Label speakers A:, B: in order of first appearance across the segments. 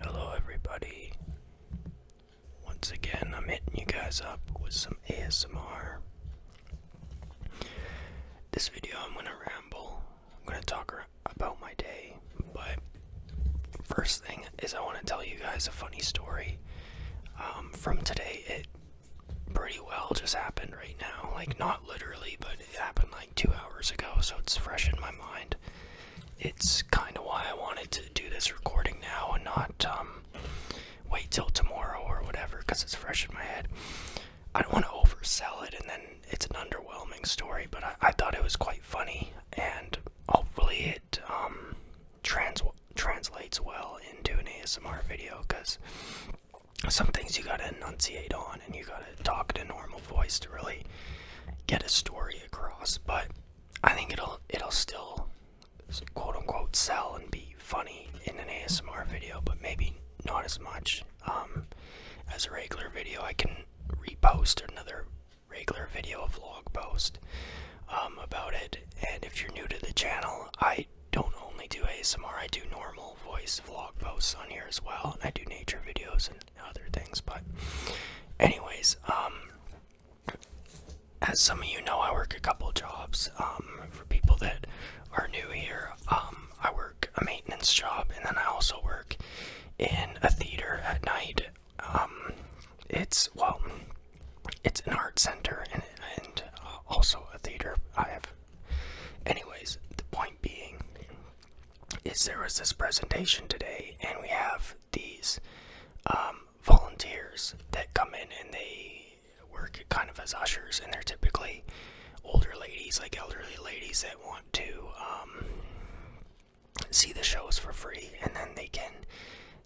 A: Hello, everybody. Once again, I'm hitting you guys up with some ASMR. This video, I'm gonna ramble. I'm gonna talk about my day, but first thing is, I want to tell you guys a funny story um, from today. It pretty well just happened right now, like not literally, but it happened like two hours ago, so it's fresh in my mind. It's kind of why I wanted to do this recording now and not um, wait till tomorrow or whatever, because it's fresh in my head. I don't want to oversell it, and then it's an underwhelming story. But I, thought it was quite funny, and hopefully it um, translates well into an ASMR video, because some things you gotta enunciate on and you gotta talk in a normal voice to really get a story across. But I think it'll it'll still quote unquote sell and be funny in an ASMR video, but maybe not as much um, as a regular video. I can repost another regular video, a vlog post um, about it. And if you're new to the channel, I don't only do ASMR, I do normal voice vlog posts on here as well. I do nature videos and other things, but anyways, um as some of you know, I work a couple jobs. Um, for people that are new here, um, I work a maintenance job, and then I also work in a theater at night. Um, it's well, it's an art center and uh, also a theater. I have, anyways. The point being, is there was this presentation today, and we have these um, volunteers that come in and they work kind of as ushers, and they're typically older ladies, like elderly ladies that want to um, see the shows for free, and then they can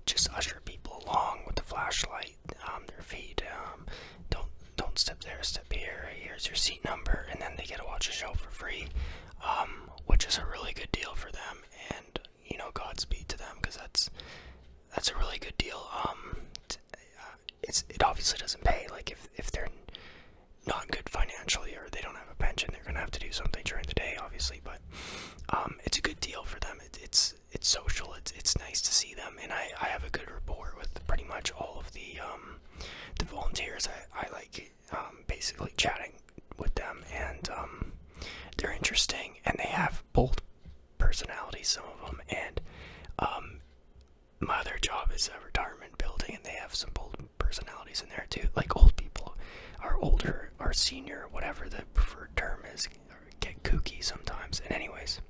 A: just usher people along with the flashlight, on um, their feet. don't don't step there, step here. Here's your seat number, and then they get to watch the show for free which is a really good deal for them, and you know, Godspeed to them because that's that's a really good deal. Um, uh, it's it obviously doesn't pay. Like if if they're not good financially or they don't have a pension, they're gonna have to do something during the day, obviously. But um, it's a good deal for them. it's it's social. It's it's nice to see them, and I I have a good rapport with pretty much all of the um the volunteers. I I like um, basically chatting with them, and um, they're interesting, and they have bold personalities, some of them, and um, my other job is a retirement building, and they have some bold personalities in there too, like old people, are older, are senior, whatever the preferred term is, get kooky sometimes, and anyways,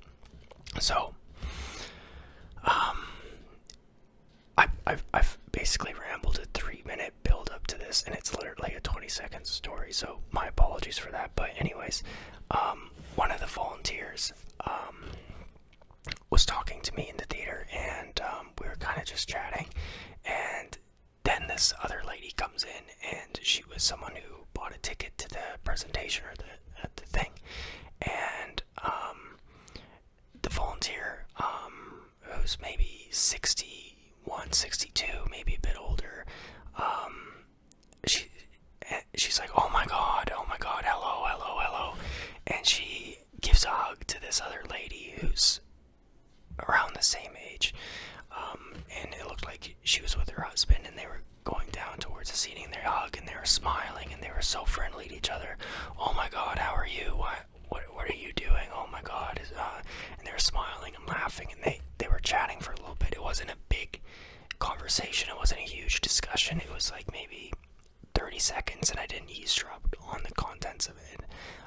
A: so I, have I've basically rambled a three minute build up to this, and it's literally a 20 second story, so my apologies for that. But, anyways, um, one of the volunteers um, was talking to me in the theater, and um, we were kind of just chatting. And then this other lady comes in, and she was someone who bought a ticket to the presentation or the, the thing. And um, the volunteer um, who's maybe 61, 62, maybe a bit older. Um, she eh, she's like, oh my god, oh my god, hello, hello, hello, and she gives a hug to this other lady who's around the same age. and it looked like she was with her husband, and they were going down towards the seating. They hug and they were smiling, and they were so friendly to each other. Oh my God, how are you? what, are you doing? Oh my God. Uh, and they were smiling and laughing and they, they were chatting for a little bit. It wasn't a big conversation. It wasn't a huge discussion. It was like maybe 30 seconds and I didn't eavesdrop on the contents of it.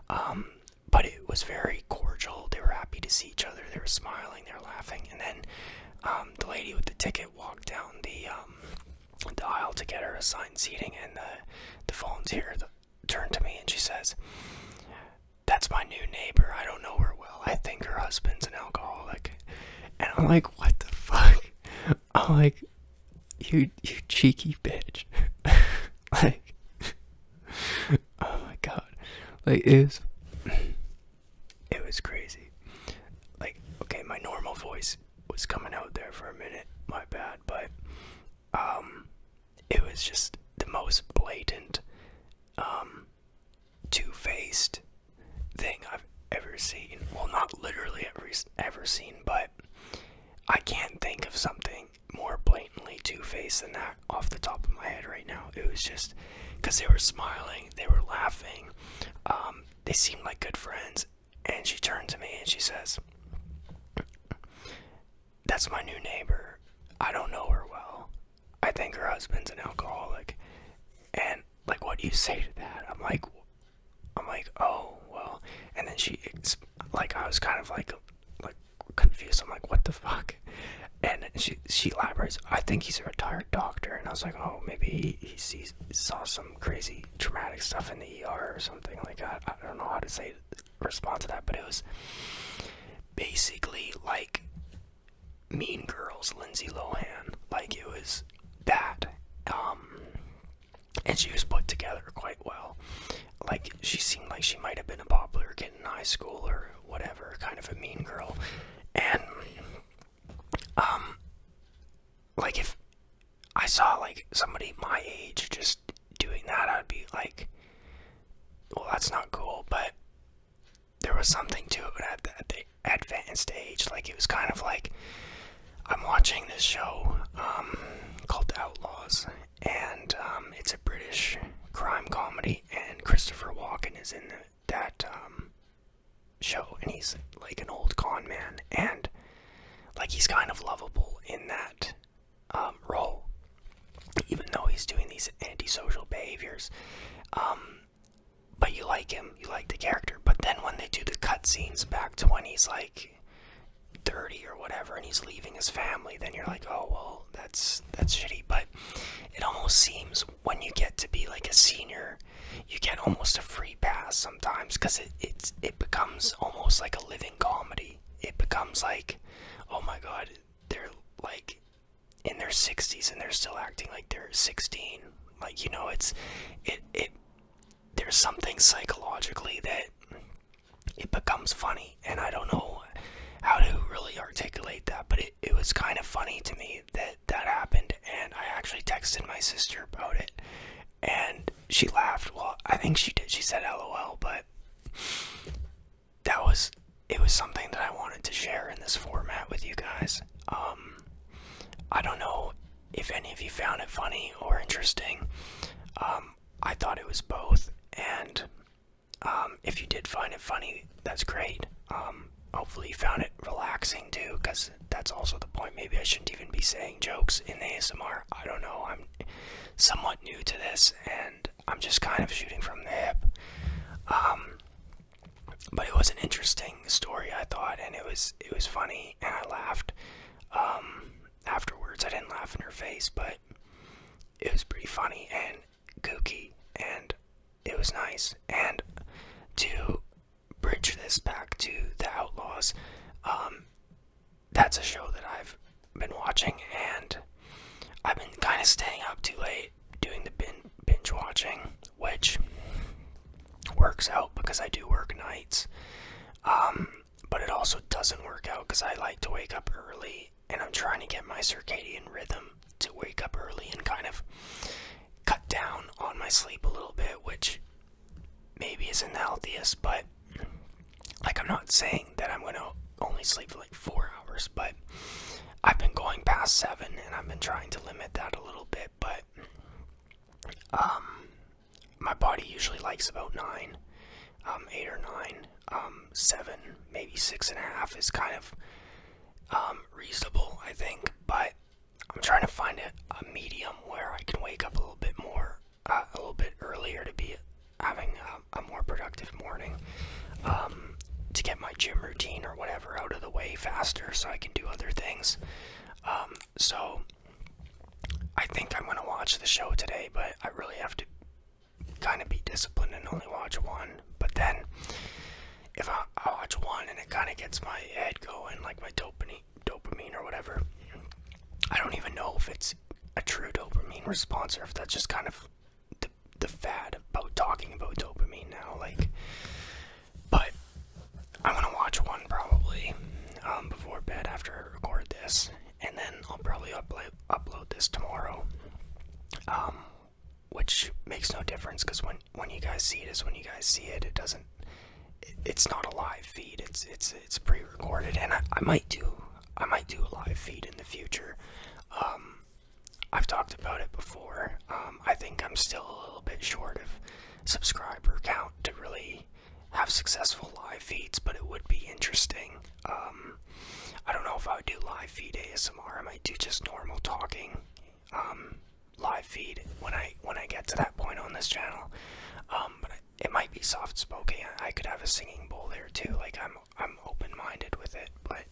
A: Um, but it was very cordial. They were happy to see each other. They were smiling. They were laughing. And then um, the lady with the ticket walked down the um, the aisle to get her assigned seating, and the, the volunteer the, turned to me and she says, That's my new neighbor. I don't know her well. I think her husband's an alcoholic. And I'm like, What the fuck? I'm like, You, you cheeky bitch. like, oh my god. Like, it was, it was crazy. Like, okay, my normal voice was coming out there for a minute. My bad, but um, it was just the most blatant, um, two-faced thing I've ever seen. Well, not literally ever ever seen, but I can't think of something more blatantly two-faced than that off the top of my head right now. It was just because they were smiling, they were laughing, um, they seemed like good friends, and she turned to me and she says, That's my new neighbor. I don't know her well. I think her husband's an alcoholic. And like, what do you say to that? I'm like, I'm like, oh well. And then she, like, I was kind of like, like confused. I'm like, what the fuck? And she, she elaborates. I think he's a retired doctor. And I was like, oh, maybe he, he sees, saw some crazy traumatic stuff in the ER or something like that. I don't know how to say respond to that, but it was basically like Mean Girls, Lindsay Lohan, like it was that, um, and she was put together quite well. Like she seemed like she might have been a popular kid in high school or whatever, kind of a mean girl, and um, like if I saw like somebody my age just doing that, I'd be like, well, that's not cool, but there was something to it at the, advanced age. Like, it was kind of like I'm watching this show um, called Outlaws, and um, it's a British crime comedy, and Christopher Walken is in that um, show, and he's like an old con man, and like he's kind of lovable in that um, role, even though he's doing these antisocial behaviors. Um, but you like him, you like the character. But then when they do the cutscenes back to when he's like 30 or whatever, and he's leaving his family, then you're like, oh well, that's that's shitty. But it almost seems when you get to be like a senior, you get almost a free pass sometimes because it's it becomes almost like a living comedy. It becomes like, oh my god, they're like in their 60s and they're still acting like they're 16. Like you know, it's it it there's something psychologically that it becomes funny, and I don't know how to really articulate that, but it it was kind of funny to me that that happened, and I actually texted my sister about it, and she laughed. Well, I think she did. She said LOL, but that was it was something that I wanted to share in this format with you guys. Um I don't know if any of you found it funny or interesting. Um I thought it was both and um if you did find it funny, that's great. Um hopefully you found it relaxing too cuz that's also the point. Maybe I shouldn't even be saying jokes in ASMR. I don't know. I'm somewhat new to this and I'm just kind of shooting from the hip. Um, but it was an interesting story, I thought, and it was it was funny, and I laughed. Um, afterwards, I didn't laugh in her face, but it was pretty funny and kooky, and it was nice. And to bridge this back to the Outlaws, um, that's a show that I've been watching, and I've been kind of staying up too late doing the bin binge watching, which works out because I do work nights. Um, but it also doesn't work out because I like to wake up early, and I'm trying to get my circadian rhythm to wake up early and kind of cut down on my sleep a little bit, which maybe isn't the healthiest, but like I'm not saying that I'm gonna only sleep for like four hours, but I've been going past seven and I've been trying to limit that a little bit, but um my body usually likes about nine, um, eight or nine, um, seven, maybe six and a half is kind of um reasonable, I think, but I'm trying to find a, a medium where I can wake up a little bit more uh, a little bit earlier to be having a, more productive morning um, to get my gym routine or whatever out of the way faster so I can do other things. Um, so I think I'm going to watch the show today, but I really have to kind of be disciplined and only watch one. But then if I, I watch one and it kind of gets my head going, like my dopamine, dopamine or whatever. I don't even know if it's a true dopamine response or if that's just kind of the, the fad about talking about dopamine now. Like, but I'm gonna watch one probably um, before bed after I record this, and then I'll probably upload upload this tomorrow. Um, which makes no difference because when when you guys see it is when you guys see it. It doesn't it's not a live feed. It's it's it's pre-recorded, and I, I might do I might do a live feed in the future. Um, I've talked about it before. Um, I think I'm still a little bit short of subscriber count to really have successful live feeds, but it would be interesting. Um, I don't know if I would do live feed ASMR. I might do just normal talking live feed when I when I get to that point on this channel. but it might be soft spoken. I could have a singing bowl there too. Like I'm I'm open minded with it, but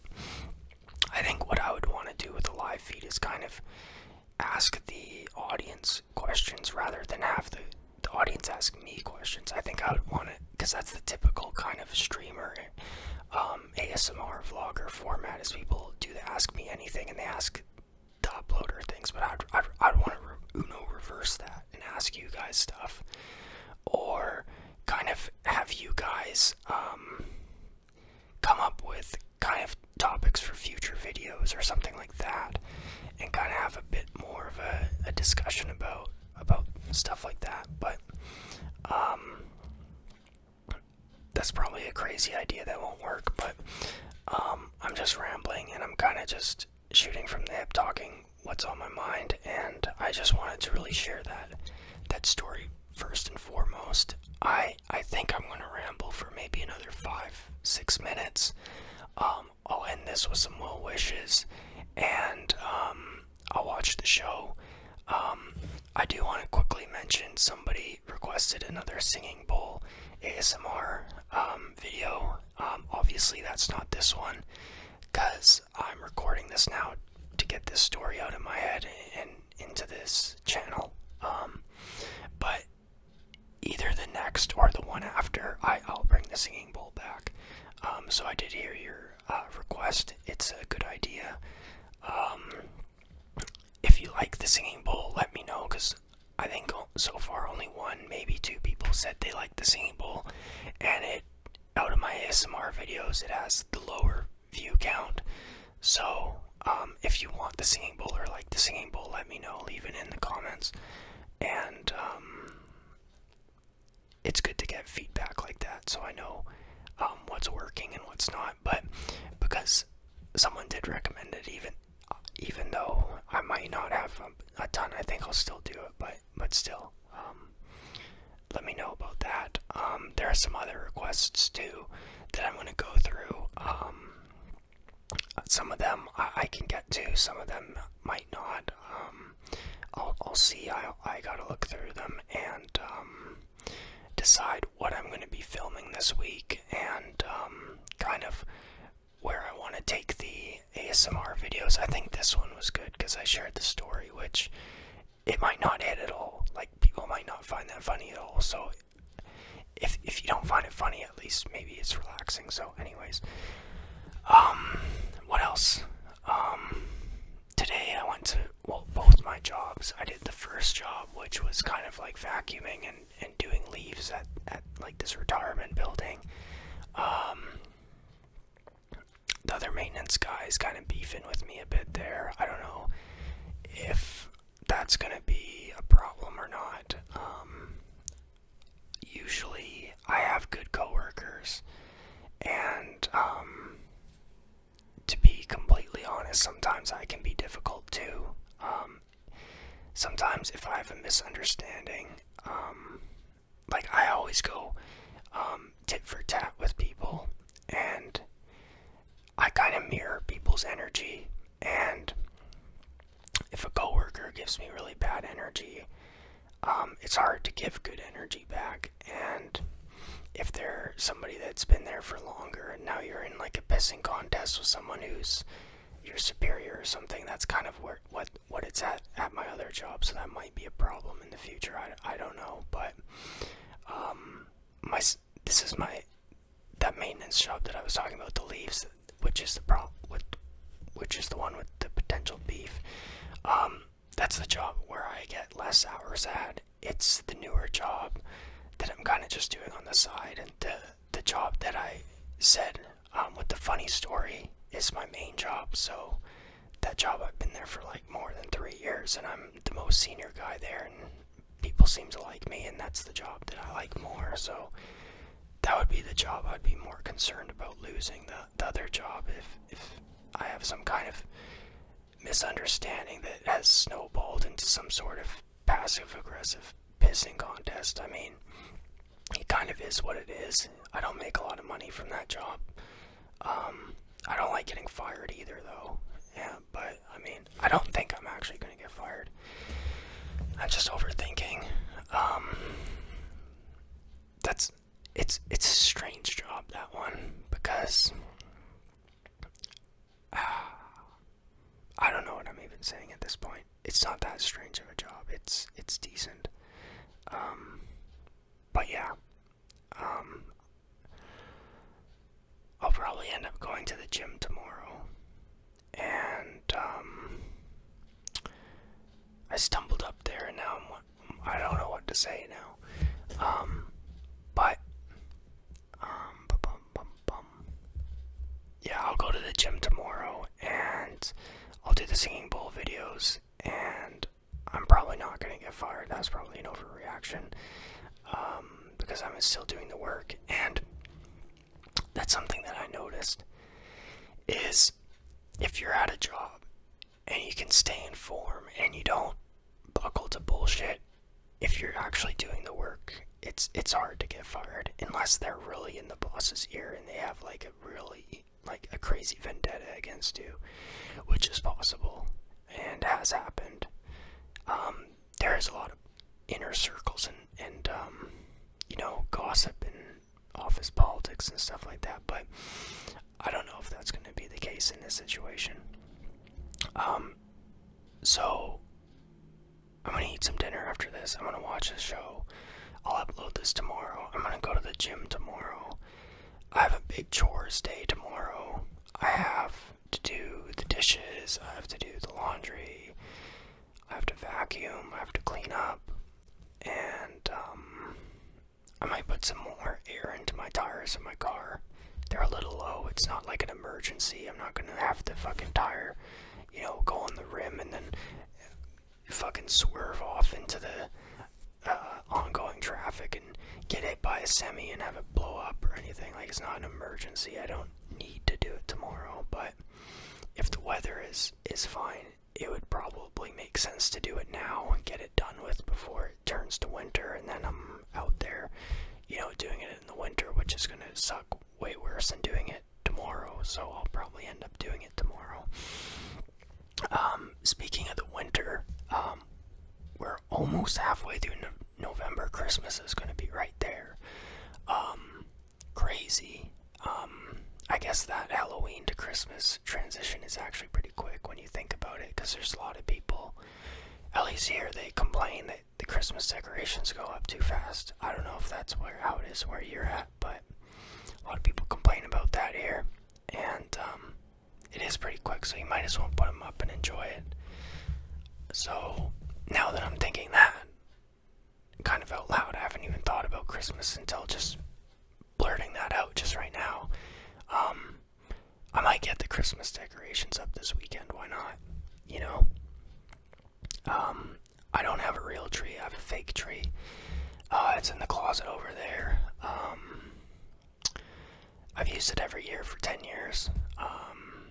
A: I think what I would want to do with a live feed is kind of ask the audience questions rather than have the, audience ask me questions. I think I would want to, because that's the typical kind of streamer um, ASMR vlogger format is people do the ask me anything and they ask uploader things, but I'd, I'd, want to re Uno reverse that and ask you guys stuff, or kind of have you guys um, come up with kind of topics for future videos or something like that, and kind of have a bit more of a, a discussion about about stuff like that. But um, that's probably a crazy idea that won't work, but um, I'm just rambling and I'm kind of just shooting from the hip, talking what's on my mind, and I just wanted to really share that that story first and foremost. I I think I'm gonna ramble for maybe another five six minutes. Um, I'll end this with some well wishes, and um, I'll watch the show. Um, I do want to quickly mention somebody requested another singing bowl ASMR video. Um, obviously, that's not this one because I'm recording this now to get this story out of my head and into this channel. Um, but either the next or the one after, I, will bring the singing bowl back. Um, so I did hear your uh, request. It's a good idea. if you like the singing bowl, let me know because I think so far only one, maybe two people said they liked the singing bowl, and it out of my ASMR videos, it has the lower view count. So um, if you want the singing bowl or like the singing bowl, let me know. Leave it in the comments, and um, it's good to get feedback like that, so I know um, what's working and what's not. But because someone did recommend it, even even though I might not have a, ton, I think I'll still do it. But but still, um, let me know about that. Um, there are some other requests too that I'm gonna go through. Um, some of them I, can get to, some of them might not. I'll I'll see. I I gotta look through them and decide what I'm gonna be filming this week and kind of where I want to take the ASMR videos. I think this one was good because I shared the story, which it might not hit at all. Like people might not find that funny at all. So if if you don't find it funny, at least maybe it's relaxing. So, anyways, um, what else? Um, today I went to well both my jobs. I did the first job, which was kind of like vacuuming and and doing leaves at, at like this retirement building. Um, the other maintenance guy is kind of beefing with me a bit there. I don't know if that's going to be a problem or not. Um, usually, I have good coworkers, and um, to be completely honest, sometimes I can be difficult too sometimes if I have a misunderstanding, um, like I always go um, tit for tat with people, and I kind of mirror people's energy. And if a coworker gives me really bad energy, um, it's hard to give good energy back. And if they're somebody that's been there for longer, and now you're in like a pissing contest with someone who's your superior or something, that's kind of what what it's at at my other job, so that might be a problem in the future. I, I don't know, but um, my this is my that maintenance job that I was talking about, the leaves, which is the problem with which is the one with the potential beef. Um, that's the job where I get less hours at. It's the newer job that I'm kind of just doing on the side, and the job that I said um, with the funny story is my main job. So that job I've been there for like more than three years, and I'm the most senior guy there, and people seem to like me, and that's the job that I like more. So that would be the job I'd be more concerned about losing the, the other job if if I have some kind of misunderstanding that has snowballed into some sort of passive aggressive pissing contest. I mean, it kind of is what it is. I don't make a lot of money from that job. Um, I don't like getting fired either, though. Yeah, but I mean, I don't think I'm actually going to get fired. I'm just overthinking. Um, that's it's it's a strange job that one because I don't know what I'm even saying at this point it's not that strange of a job. It's it's decent. Um, but yeah, um, I'll probably end up going to the gym tomorrow, and um, I stumbled up there, and now I'm, I don't know what to say now. but yeah, I'll go to the gym tomorrow and I'll do the singing bowl videos, and I'm probably not gonna get fired. That's probably an overreaction um, because I'm still doing the work, and that's something that I noticed is if you're at a job and you can stay in form and you don't buckle to bullshit if you're actually doing the work it's it's hard to get fired unless they're really in the boss's ear and they have like like a really like a crazy vendetta against you, which is possible and has happened. Um, there is a lot of inner circles and and um, you know gossip and office politics and stuff like that, but I don't know if that's going to be the case in this situation. Um, so I'm gonna eat some dinner after this. I'm gonna watch a show. I'll upload this tomorrow. I'm gonna go to the gym tomorrow. I have a big chores day tomorrow. I have to do the dishes, I have to do the laundry, I have to vacuum, I have to clean up, and um, I might put some more air into my tires in my car. They're a little low, it's not like an emergency. I'm not gonna have to fucking tire, you know, go on the rim and then fucking swerve off into the uh, ongoing traffic and get hit by a semi and have it blow up or anything. Like, it's not an emergency. I don't need to do it tomorrow, but if the weather is, is fine, it would probably make sense to do it now and get it done with before it turns to winter and then I'm out there, you know, doing it in the winter, which is going to suck way worse than doing it tomorrow, so I'll probably end up doing it tomorrow. Um, speaking of the winter, um, we're almost halfway through November. Christmas is going to be right there. Um, crazy. I guess that Halloween to Christmas transition is actually pretty quick when you think about it, because there's a lot of people. At least here, they complain that the Christmas decorations go up too fast. I don't know if that's where how it is where you're at but a lot of people complain about that here, and um, it is pretty quick, so you might as well put them up and enjoy it. So now that I'm thinking that, kind of out loud, I haven't even thought about Christmas until just blurting that out just right now. Um, I might get the Christmas decorations up this weekend. Why not? You know. Um, I don't have a real tree. I have a fake tree. Uh, it's in the closet over there. Um, I've used it every year for 10 years. Um,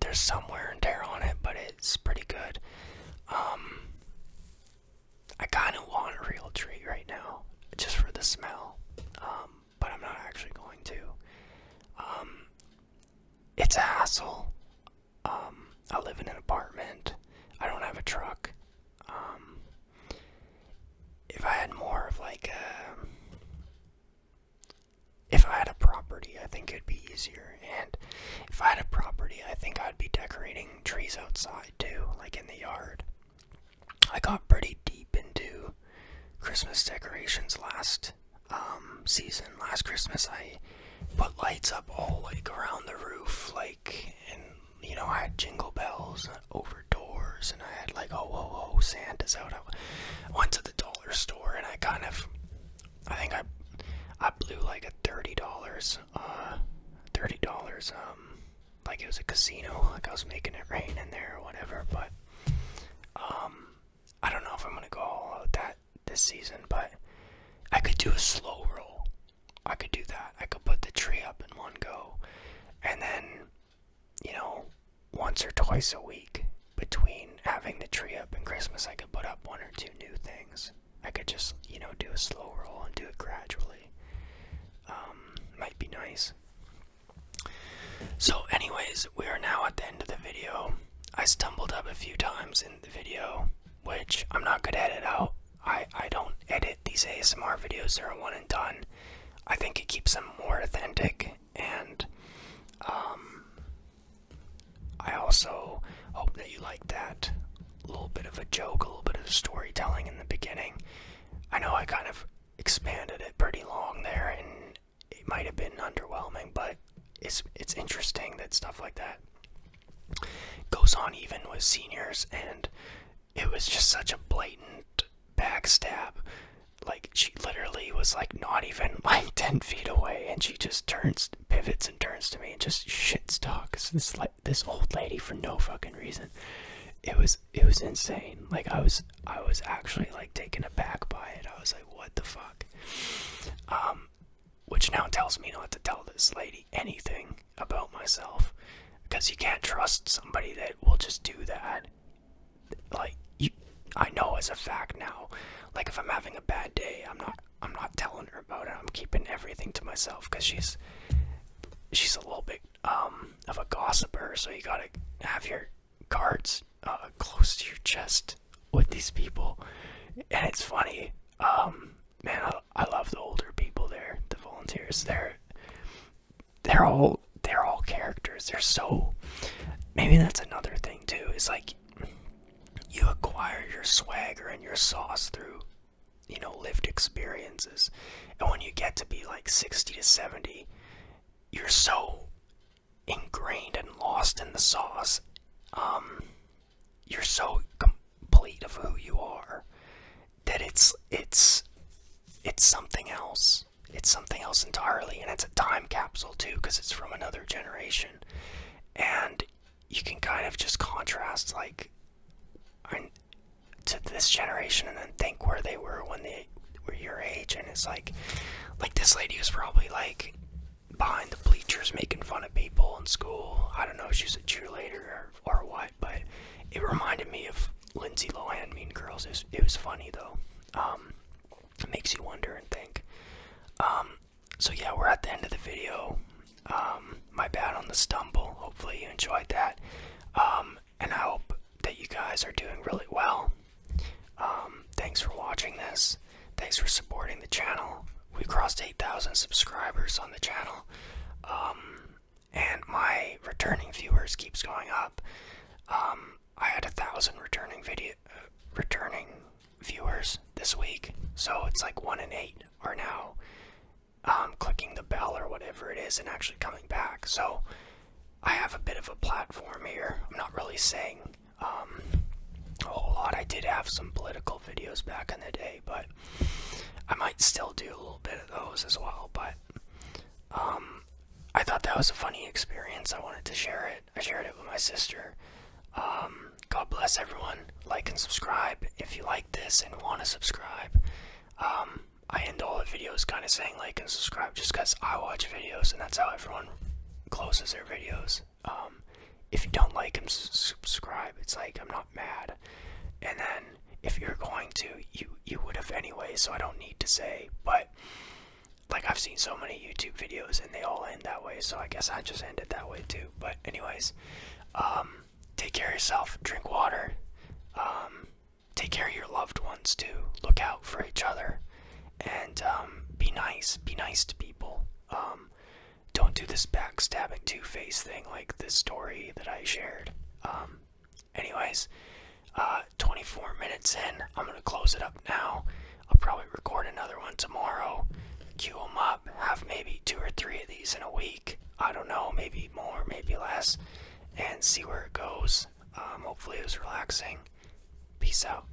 A: there's some wear and tear on it, but it's pretty good. Um, I kind of want a real tree right now, just for the smell. but I'm not actually going to. it's a hassle. Um, I live in an apartment. I don't have a truck. Um, if I had more of like a, if I had a property, I think it'd be easier. And if I had a property, I think I'd be decorating trees outside too, like in the yard. I got pretty deep into Christmas decorations last um, season. Last Christmas, I put lights up all like around the roof, like, and you know, I had jingle bells over doors, and I had like, oh, oh, oh, Santa's out. I went to the dollar store, and I kind of, I think I, I blew like a thirty dollars, uh, thirty dollars, um, like it was a casino, like I was making it rain in there or whatever, but, um, I don't know if I'm gonna go all out that this season, but I could do a slow roll. I could do that. I could put the tree up in one go, and then, you know, once or twice a week between having the tree up and Christmas, I could put up one or two new things. I could just, you know, do a slow roll and do it gradually. Um, might be nice. So, anyways, we are now at the end of the video. I stumbled up a few times in the video which I'm not good at it out. I, I don't edit these ASMR videos, they're a one and done. I think it keeps them more authentic, and um, I also hope that you like that little bit of a joke, a little bit of storytelling in the beginning. I know I kind of expanded it pretty long there, and it might have been underwhelming, but it's it's interesting that stuff like that goes on even with seniors and it was just such a blatant backstab like she literally was like not even like 10 feet away and she just turns pivots and turns to me and just shits talks this like this old lady for no fucking reason it was it was insane like i was i was actually like taken aback by it i was like what the fuck um which now tells me not to tell this lady anything about myself. Because you can't trust somebody that will just do that. Like, you, I know as a fact now. Like, if I'm having a bad day, I'm not. I'm not telling her about it. I'm keeping everything to myself because she's she's a little bit um, of a gossiper. So you gotta have your cards uh, close to your chest with these people, and it's funny. Um, man, I, love the older people there, the volunteers. They're they're all they're all characters. They're so maybe that's another thing too. Is like you acquire your swagger and your sauce through you know lived experiences, and when you get to be like sixty to seventy, you're so ingrained and lost in the sauce. Um, you're so complete of who you are that it's it's it's something else. It's something else entirely, and it's a time capsule too, because it's from another generation, and you can kind of just contrast like to this generation, and then think where they were when they were your age, and it's like, like this lady was probably like behind the bleachers making fun of people in school. I don't know if she's a cheerleader or, what, but it reminded me of Lindsay Lohan Mean Girls. It was, funny though. Um, it makes you wonder and think. Um, so yeah, we're at the end of the video. Um, my bad on the stumble. Hopefully you enjoyed that. and I hope that you guys are doing really well. thanks for watching this. Thanks for supporting the channel. We crossed 8,000 subscribers on the channel. Um, and my returning viewers keeps going up. Um, I had a thousand returning video, returning viewers this week, so it's like one in eight are now um, clicking the bell or whatever it is and actually coming back. So I have a bit of a platform here. I'm not really saying a whole lot. I did have some political videos back in the day but I might still do a little bit of those as well. But um, I thought that was a funny experience. I wanted to share it. I shared it with my sister. Um, God bless everyone. Like and subscribe if you like this and want to subscribe. Um, I end all the videos kind of saying like and subscribe just because I watch videos and that's how everyone closes their videos. Um, if you don't like him, subscribe, it's like I'm not mad. And then if you're going to, you you would have anyway, so I don't need to say. But like I've seen so many YouTube videos and they all end that way, so I guess I just end it that way too. But anyways, um, take care of yourself, drink water, um, take care of your loved ones too. Look out for each other, and be nice. Be nice to people don't do this backstabbing two face thing like this story that I shared. Um, anyways, uh, 24 minutes in, I'm gonna close it up now. I'll probably record another one tomorrow, queue them up, have maybe two or three of these in a week. I don't know, maybe more, maybe less, and see where it goes. Um, hopefully, it was relaxing. Peace out.